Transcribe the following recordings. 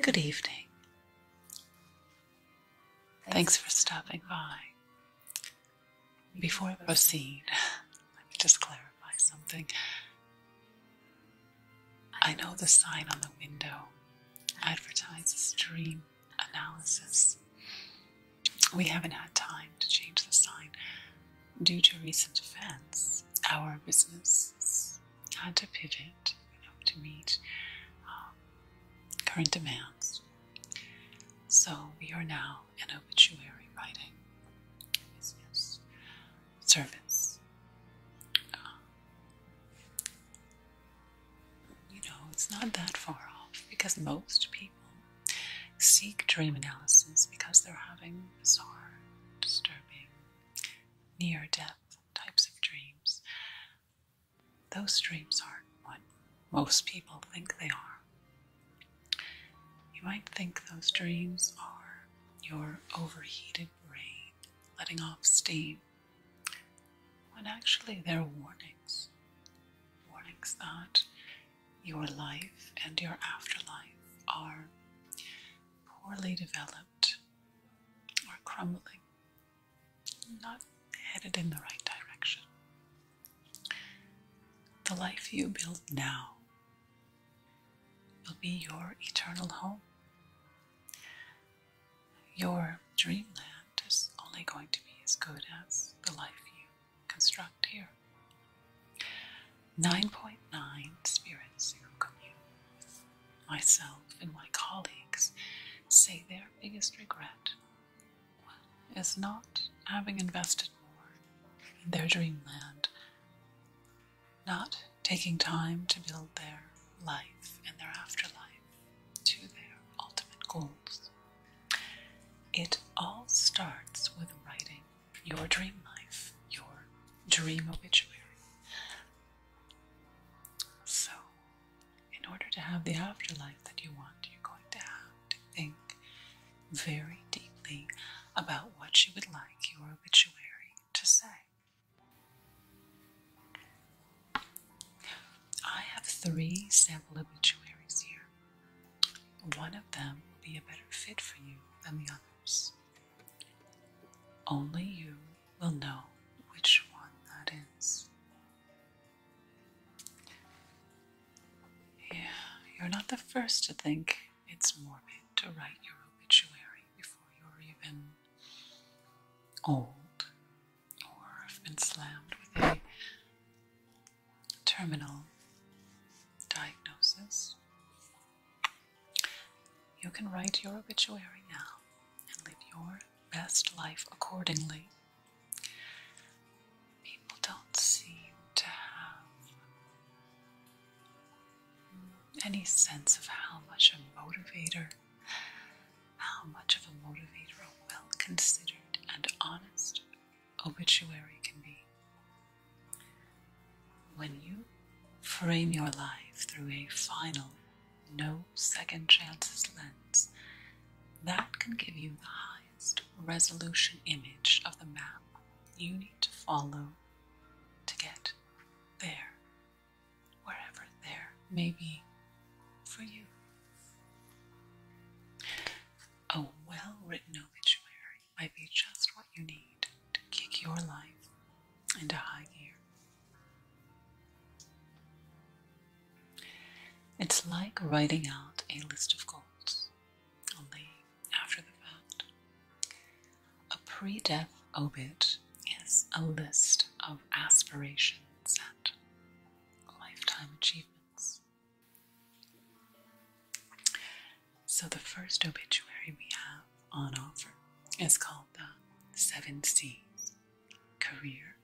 Good evening. Thanks. for stopping by. Before I proceed, let me just clarify something. I know the sign on the window advertises dream analysis. We haven't had time to change the sign due to recent events. Our business had to pivot to meet um, current demands. So we are now in obituary writing business service. Um, you know, it's not that far off because most people Seek dream analysis because they're having bizarre, disturbing, near death types of dreams. Those dreams aren't what most people think they are. You might think those dreams are your overheated brain letting off steam, when actually they're warning warnings that your life and your afterlife are poorly developed or crumbling, not headed in the right direction. The life you build now will be your eternal home. Your dreamland is only going to be as good as the life you construct here. 9.9 spirits who commune, myself and my colleagues, say their biggest regret is not having invested more in their dreamland, not taking time to build their life and their afterlife to their ultimate goals. It all starts with writing your dream life, your dream obituary. So, in order to have the afterlife that you want, you're going to have to think very deeply about what you would like your obituary to say. I have three sample obituaries here. One of them will be a better fit for you than the others. Only you will know which one that is. Yeah, you're not the first to think it's morbid to write your obituary before you're even old or have been slammed with a terminal diagnosis, you can write your obituary now and live your best life accordingly. People don't seem to have any sense of how much a motivator, how much of a motivator well considered and honest obituary can be. When you frame your life through a final, no second chances lens, that can give you the highest resolution image of the map you need to follow to get there, wherever there may be for you. A well written obituary might be just what you need to kick your life into high gear. It's like writing out a list of goals, only after the fact. A pre death obit is a list of aspirations and lifetime achievements. So, the first obituary we have on offer is called The Seven Seas Career,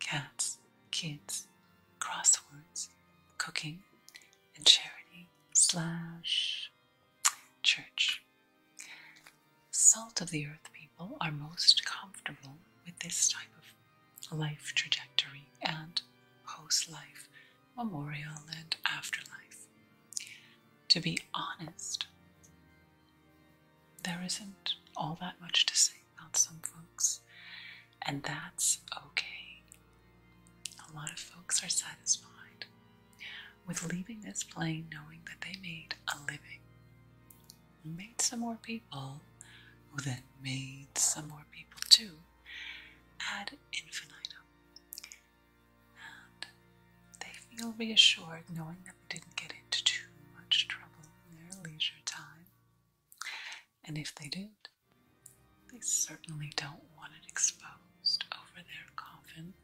Cats, Kids, Crosswords, Cooking, and Charity slash Church. Salt of the earth people are most comfortable with this type of life trajectory and post life, memorial, and afterlife. To be honest, there isn't all that much to say about some folks, and that's okay. A lot of folks are satisfied with leaving this plane knowing that they made a living, made some more people, who then made some more people too, ad infinitum. And they feel reassured knowing that they didn't get into too much trouble in their leisure time. And if they did, they certainly don't want it exposed over their coffin.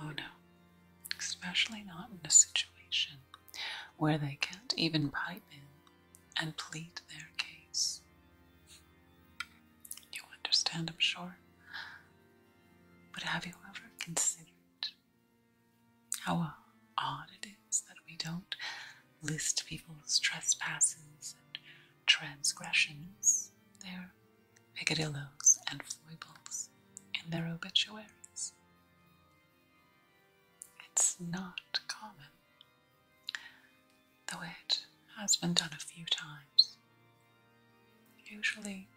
Oh no, especially not in a situation where they can't even pipe in and plead their case. You understand, I'm sure. But have you ever considered how odd it is that we don't list people's trespasses and transgressions, their peccadillos and foibles, in their obituaries? It's not common though it has been done a few times, usually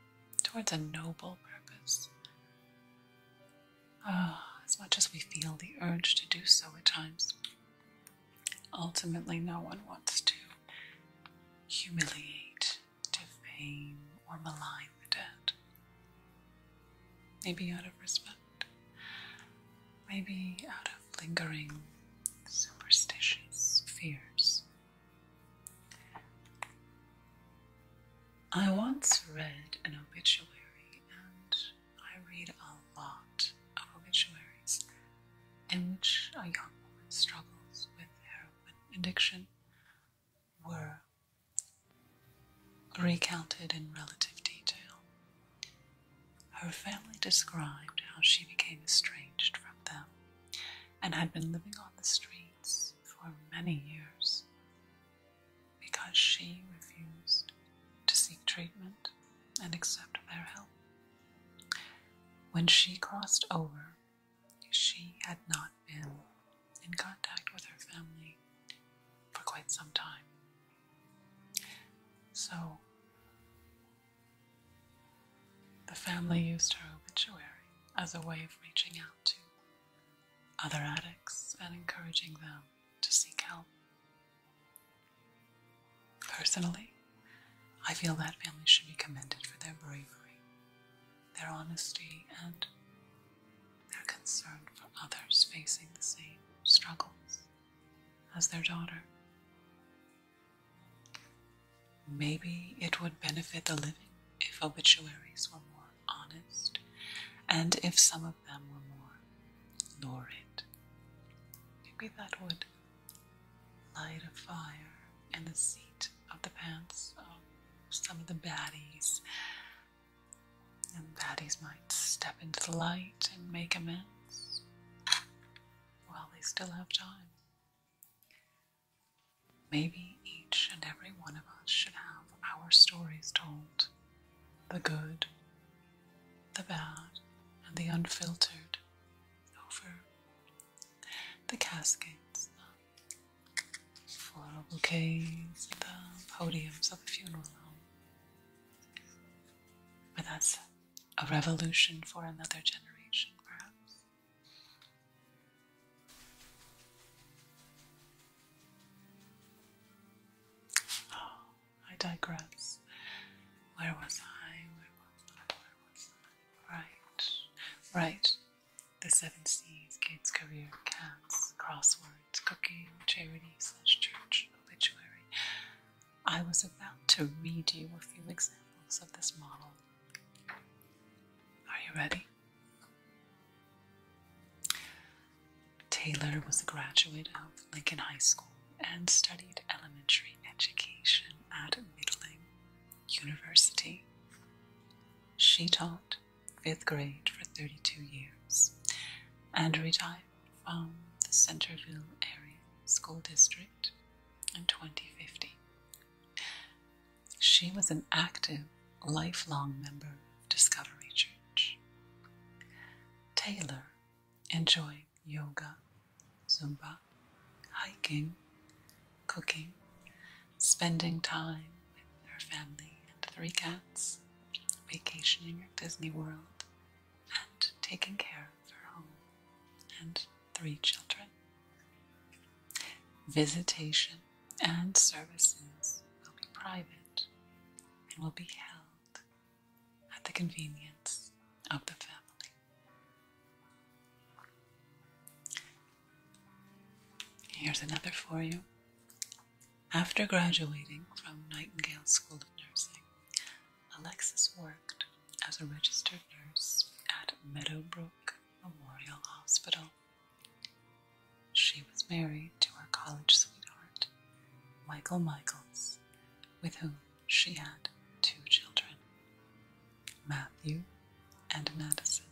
towards a noble purpose. Oh, as much as we feel the urge to do so at times, ultimately no one wants to humiliate, defame, or malign the dead. Maybe out of respect maybe out of lingering superstitious fears. I once read an obituary, and I read a lot of obituaries in which a young woman struggles with heroin addiction were recounted in relative detail. Her family described how she became estranged from them and had been living on the streets for many years because she refused to seek treatment and accept their help. When she crossed over, she had not been in contact with her family for quite some time. So, the family used her obituary as a way of reaching out to other addicts and encouraging them to seek help. Personally, I feel that families should be commended for their bravery, their honesty, and their concern for others facing the same struggles as their daughter. Maybe it would benefit the living if obituaries were more honest and if some of them were more lurid. Maybe that would light a fire in the seat of the pants of some of the baddies and baddies might step into the light and make amends while they still have time. Maybe each and every one of us should have our stories told the good, the bad, and the unfiltered over the caskets, the floral bouquets, the podiums of the funeral home. But that's a revolution for another generation, perhaps. Oh, I digress. Where was I? Where was I? Right, right. The Seven Seas, Kids Career, Cats, Crossword. Lord's Cooking Charity slash Church Obituary. I was about to read you a few examples of this model. Are you ready? Taylor was a graduate of Lincoln High School and studied elementary education at Middling University. She taught fifth grade for 32 years and retired from the Centerville Area School District in 2015. She was an active, lifelong member of Discovery Church. Taylor enjoyed yoga, Zumba, hiking, cooking, spending time with her family and three cats, vacationing at Disney World, and taking care of her home and three children. Visitation and services will be private and will be held at the convenience of the family. Here's another for you. After graduating from Nightingale School of Nursing, Alexis worked as a registered nurse at Meadowbrook Memorial Hospital. She was married to her college sweetheart, Michael Michaels, with whom she had two children, Matthew and Madison.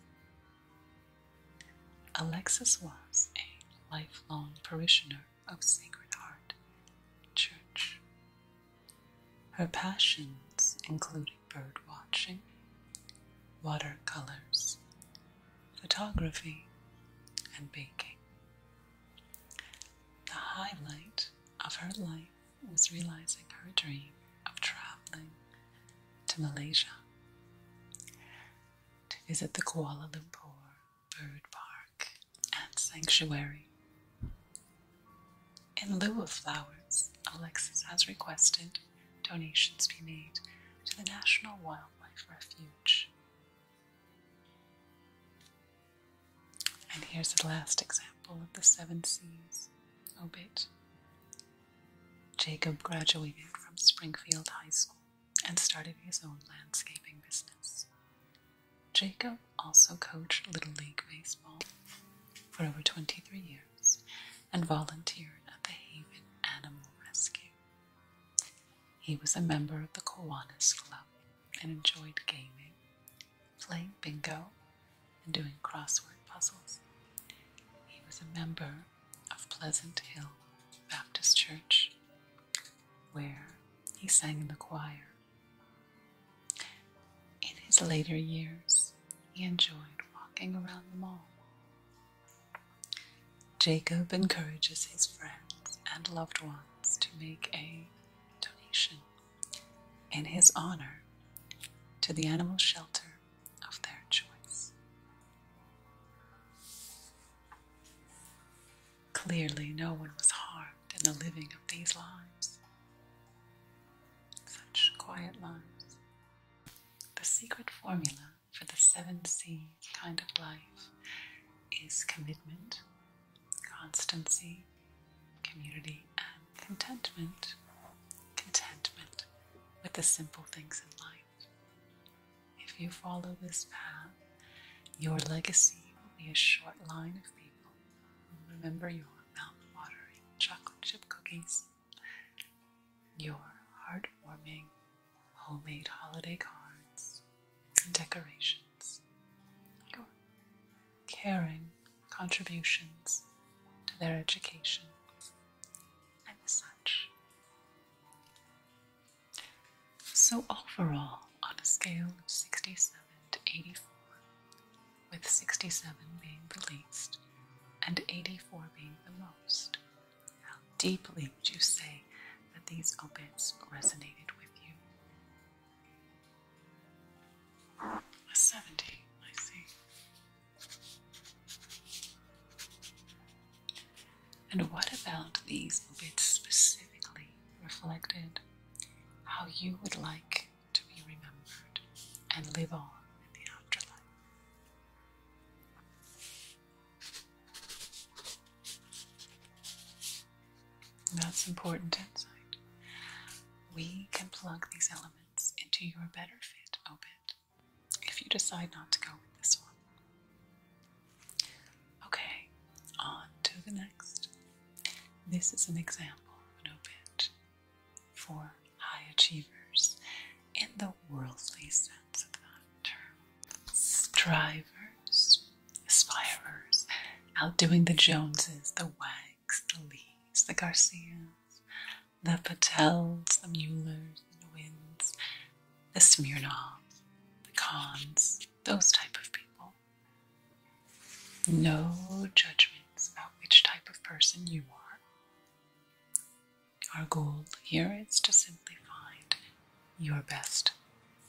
Alexis was a lifelong parishioner of Sacred Heart Church. Her passions included bird watching, watercolors, photography, and baking. The highlight of her life was realizing her dream of traveling to Malaysia to visit the Kuala Lumpur bird park and sanctuary. In lieu of flowers, Alexis has requested donations be made to the National Wildlife Refuge. And here's the last example of the Seven Seas obit. Jacob graduated from Springfield High School and started his own landscaping business. Jacob also coached Little League Baseball for over 23 years and volunteered at the Haven Animal Rescue. He was a member of the Kiwanis Club and enjoyed gaming, playing bingo, and doing crossword puzzles. He was a member of Pleasant Hill Baptist Church where he sang in the choir. In his later years, he enjoyed walking around the mall. Jacob encourages his friends and loved ones to make a donation in his honor to the animal shelter of their choice. Clearly, no one was harmed in the living of these lives. Such quiet lives. The secret formula for the seven C's kind of life is commitment, constancy, community, and contentment. Contentment with the simple things in life. If you follow this path, your legacy will be a short line of people who remember your mountain watering chocolate chip cookies, your heartwarming homemade holiday cards and decorations, your caring contributions to their education, and such. So, overall, on a scale of 67 to 84, with 67 being the least and 84 being the most, how deeply would you say that these obits resonated with you? A 70, I see. And what about these obits specifically reflected how you would like to be remembered and live on in the afterlife? That's important insight. We can plug these elements into your better fit obit if you decide not to go with this one. Okay, on to the next. This is an example of an obit for high achievers in the worldly sense of that term. Strivers, aspirers, outdoing the Joneses, the Wags, the Lees, the Garcias, the Patels, the Muellers, the Wins, the Smirnoffs, the Cons, those type of people. No judgments about which type of person you are. Our goal here is to simply find your best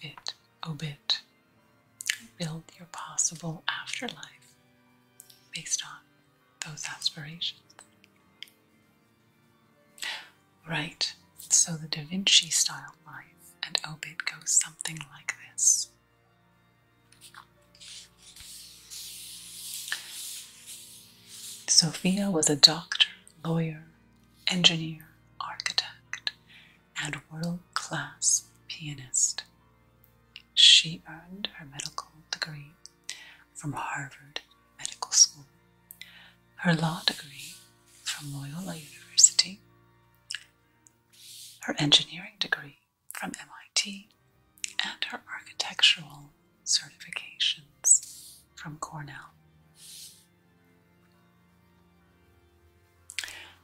fit obit and build your possible afterlife based on those aspirations. Right so the Da Vinci style life and obit goes something like this. Sophia was a doctor, lawyer, engineer, architect, and world class pianist. She earned her medical degree from Harvard Medical School, her law degree from Loyola University, her engineering degree from MIT, and her architectural certifications from Cornell.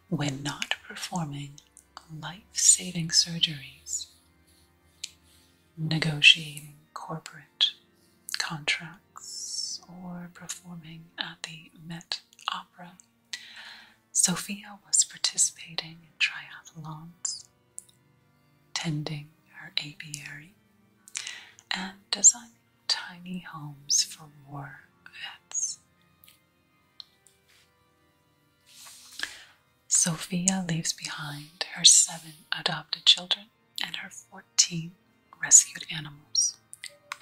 When not performing life saving surgeries, negotiating corporate contracts, or performing at the Met Opera. Sophia was participating in triathlons, tending her aviary, and designing tiny homes for war vets. Sophia leaves behind her seven adopted children and her 14 rescued animals,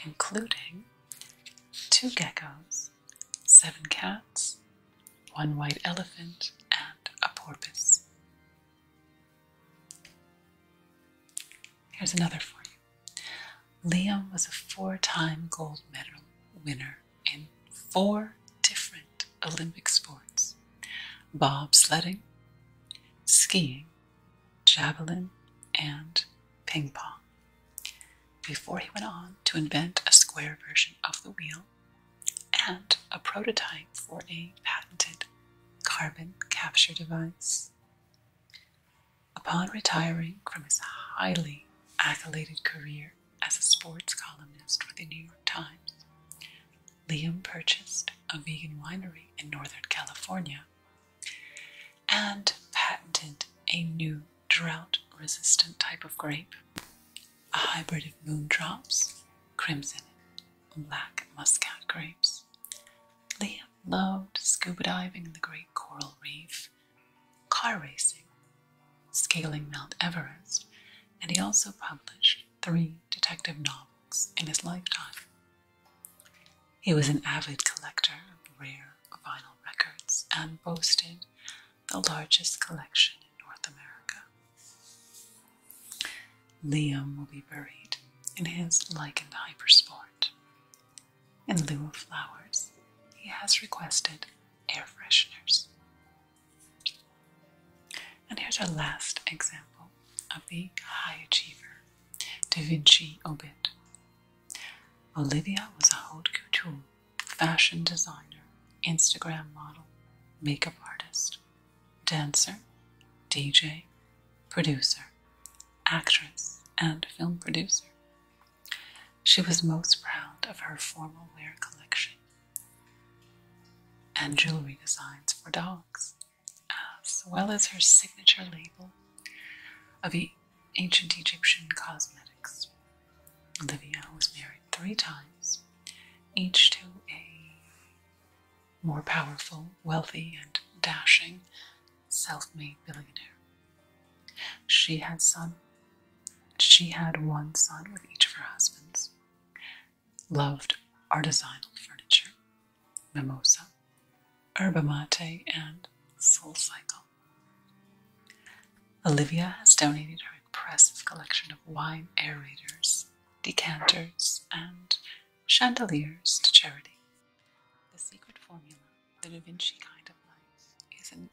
including two geckos, seven cats, one white elephant, and a porpoise. Here's another for you. Liam was a four time gold medal winner in four different Olympic sports bobsledding, skiing, javelin, and ping pong before he went on to invent a square version of the wheel and a prototype for a patented carbon capture device. Upon retiring from his highly accoladed career as a sports columnist for the New York Times, Liam purchased a vegan winery in Northern California and patented a new drought resistant type of grape, a hybrid of Moon Drops, crimson, and black muscat grapes. Liam loved scuba diving in the Great Coral Reef, car racing, scaling Mount Everest, and he also published three detective novels in his lifetime. He was an avid collector of rare vinyl records and boasted the largest collection in North America. Liam will be buried in his lichened hypersport. In lieu of flowers, he has requested air fresheners. And here's our last example of the high achiever Da Vinci obit Olivia was a haute couture, fashion designer, Instagram model, makeup artist, dancer, DJ, producer, actress, and film producer. She was most proud of her formal wear collection and jewelry designs for dogs, as well as her signature label of ancient Egyptian cosmetics. Olivia was married three times, each to a more powerful, wealthy, and dashing self made billionaire. She had some. she had one son with each of her husbands, loved artisanal furniture, mimosa, Yerba Mate, and Soul Cycle. Olivia has donated her impressive collection of wine aerators, decanters, and chandeliers to charity. The secret formula, the Da Vinci kind of life, is an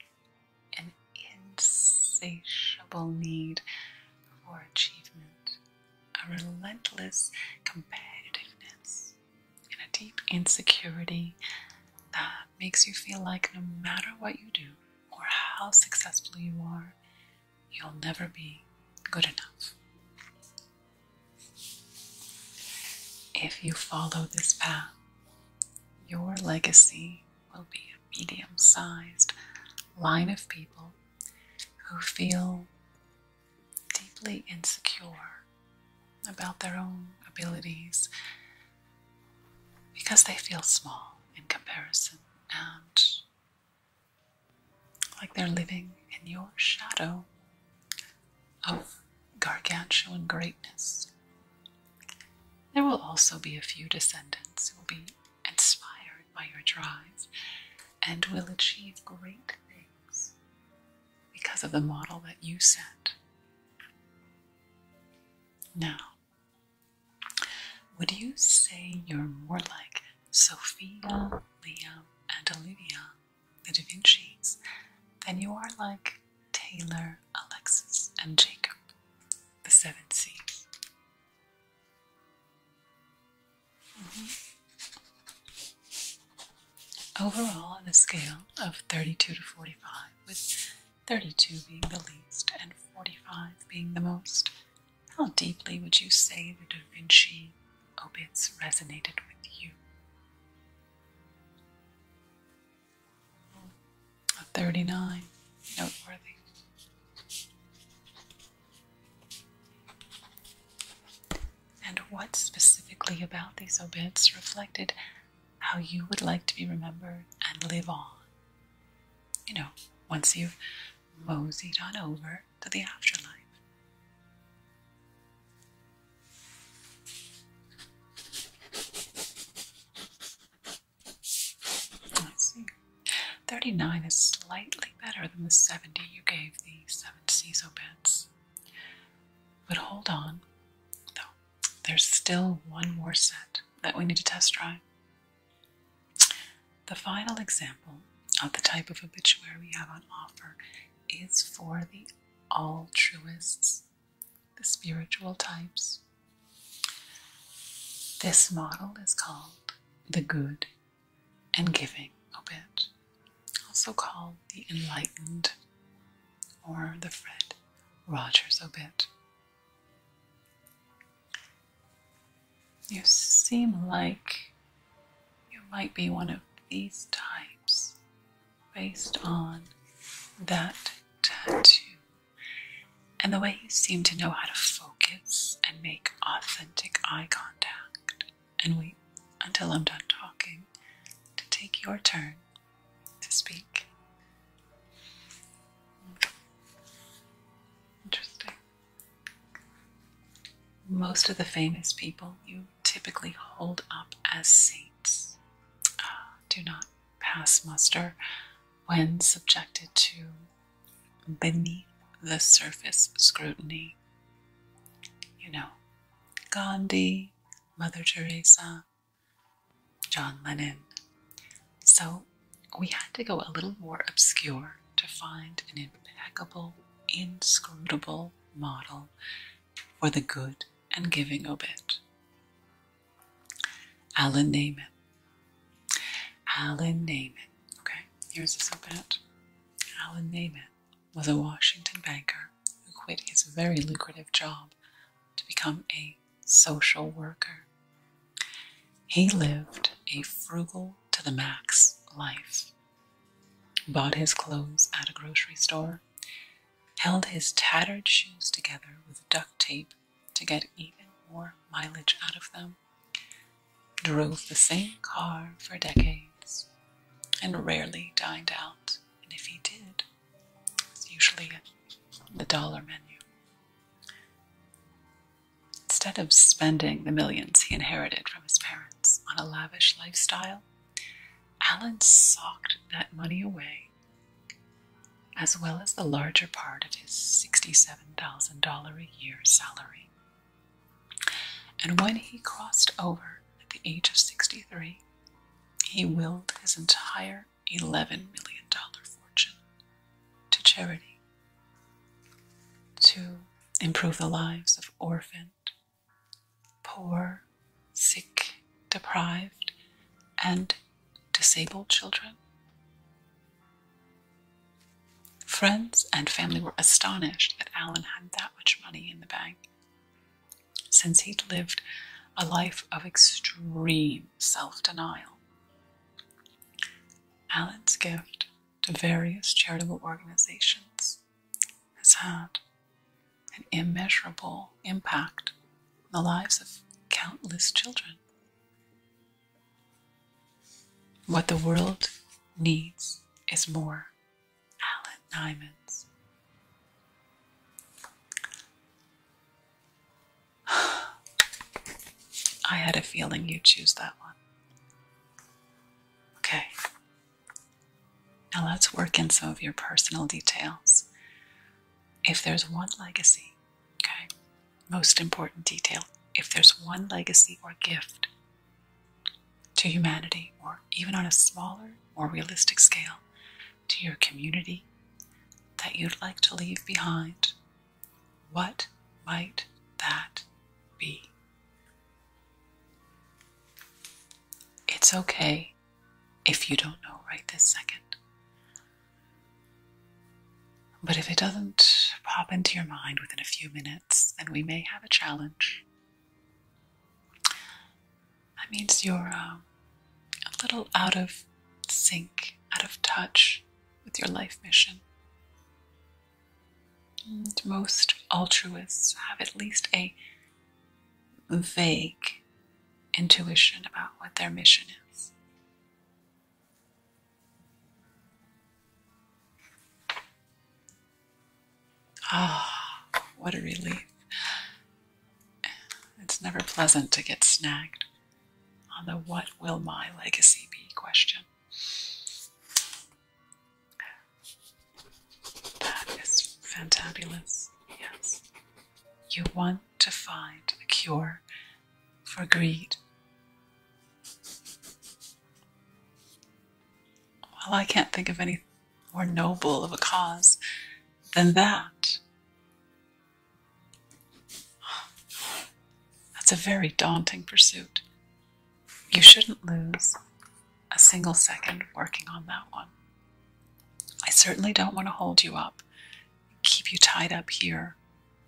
insatiable need for achievement, a relentless competitiveness and a deep insecurity that makes you feel like no matter what you do or how successful you are, you'll never be good enough. If you follow this path, your legacy will be a medium sized line of people who feel deeply insecure about their own abilities because they feel small in comparison and like they're living in your shadow of gargantuan greatness. There will also be a few descendants who will be inspired by your drive and will achieve great things because of the model that you set. Now, would you say you're more like Sophia, Liam, and Olivia, the Da Vinci's, than you are like Taylor, Alexis, and Jacob, the Seven Seas? Mm-hmm. Overall, on a scale of 32 to 45, with 32 being the least and 45 being the most, how deeply would you say the Da Vinci obits resonated with you? A 39, noteworthy. And what specifically about these obits reflected how you would like to be remembered and live on. You know, once you've moseyed on over to the afterlife. Let's see. 39 is slightly better than the 70 you gave the Seven Seas Obits. But hold on, though there's still one more set that we need to test drive. The final example of the type of obituary we have on offer is for the all altruists, the spiritual types. This model is called the good and giving obit, also called the Enlightened or the Fred Rogers Obit. You seem like you might be one of these types based on that tattoo and the way you seem to know how to focus and make authentic eye contact and wait until I'm done talking to take your turn to speak. Interesting. Most of the famous people you typically hold up as saints uh, do not pass muster when subjected to beneath the surface scrutiny. You know, Gandhi, Mother Teresa, John Lennon. So we had to go a little more obscure to find an impeccable, inscrutable model for the good and giving obit. Alan Naiman. Alan Naiman. Okay, here's this obit. Alan Naiman was a Washington banker who quit his very lucrative job to become a social worker. He lived a frugal to the max life, bought his clothes at a grocery store, held his tattered shoes together with duct tape to get even more mileage out of them, drove the same car for decades, and rarely dined out, and if he did, it's usually the dollar menu. Instead of spending the millions he inherited from his parents on a lavish lifestyle, Alan socked that money away, as well as the larger part of his $67,000 a year salary. And when he crossed over at the age of 63, he willed his entire $11 million fortune to charity to improve the lives of orphaned, poor, sick, deprived, and disabled children. Friends and family were astonished that Alan had that much money in the bank since he'd lived a life of extreme self denial. Alan's gift to various charitable organizations has had an immeasurable impact on the lives of countless children. What the world needs is more Alan diamonds. I had a feeling you'd choose that one. Okay. Now let's work in some of your personal details. If there's one legacy, okay, most important detail, if there's one legacy or gift to humanity, or even on a smaller, more realistic scale, to your community that you'd like to leave behind, what might that be? It's okay if you don't know right this second. But if it doesn't pop into your mind within a few minutes, then we may have a challenge. That means you're um, a little out of sync, out of touch with your life mission. most altruists have at least a vague intuition about what their mission is. Ah, what a relief. It's never pleasant to get snagged on the what will my legacy be question. That is fantabulous, yes. You want to find a cure for greed. Well, I can't think of any more noble of a cause than that. That's a very daunting pursuit. You shouldn't lose a single second working on that one. I certainly don't want to hold you up, keep you tied up here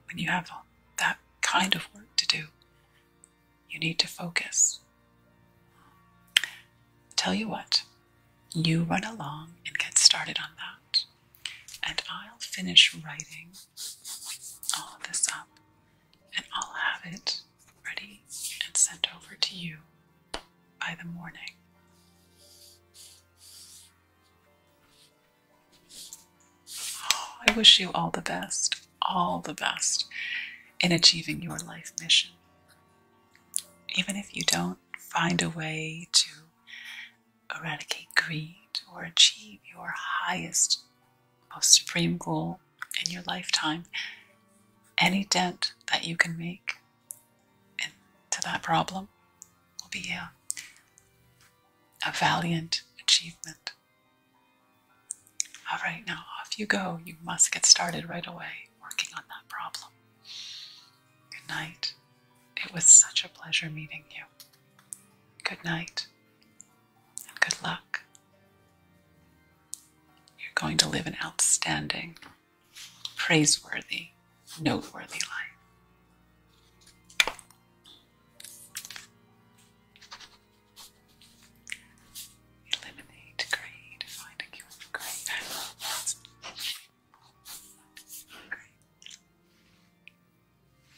when you have that kind of work to do. You need to focus. Tell you what, you run along and get started on that, and I'll finish writing all this up, and I'll have it ready and sent over to you by the morning. Oh, I wish you all the best, all the best in achieving your life mission. Even if you don't, find a way to eradicate greed or achieve your highest, most supreme goal in your lifetime, any dent that you can make into that problem will be a, a valiant achievement. All right, now off you go. You must get started right away working on that problem. Good night. It was such a pleasure meeting you. Good night and good luck. You're going to live an outstanding, praiseworthy, noteworthy life. Eliminate greed, find a cure for greed.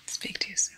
Speak to you soon.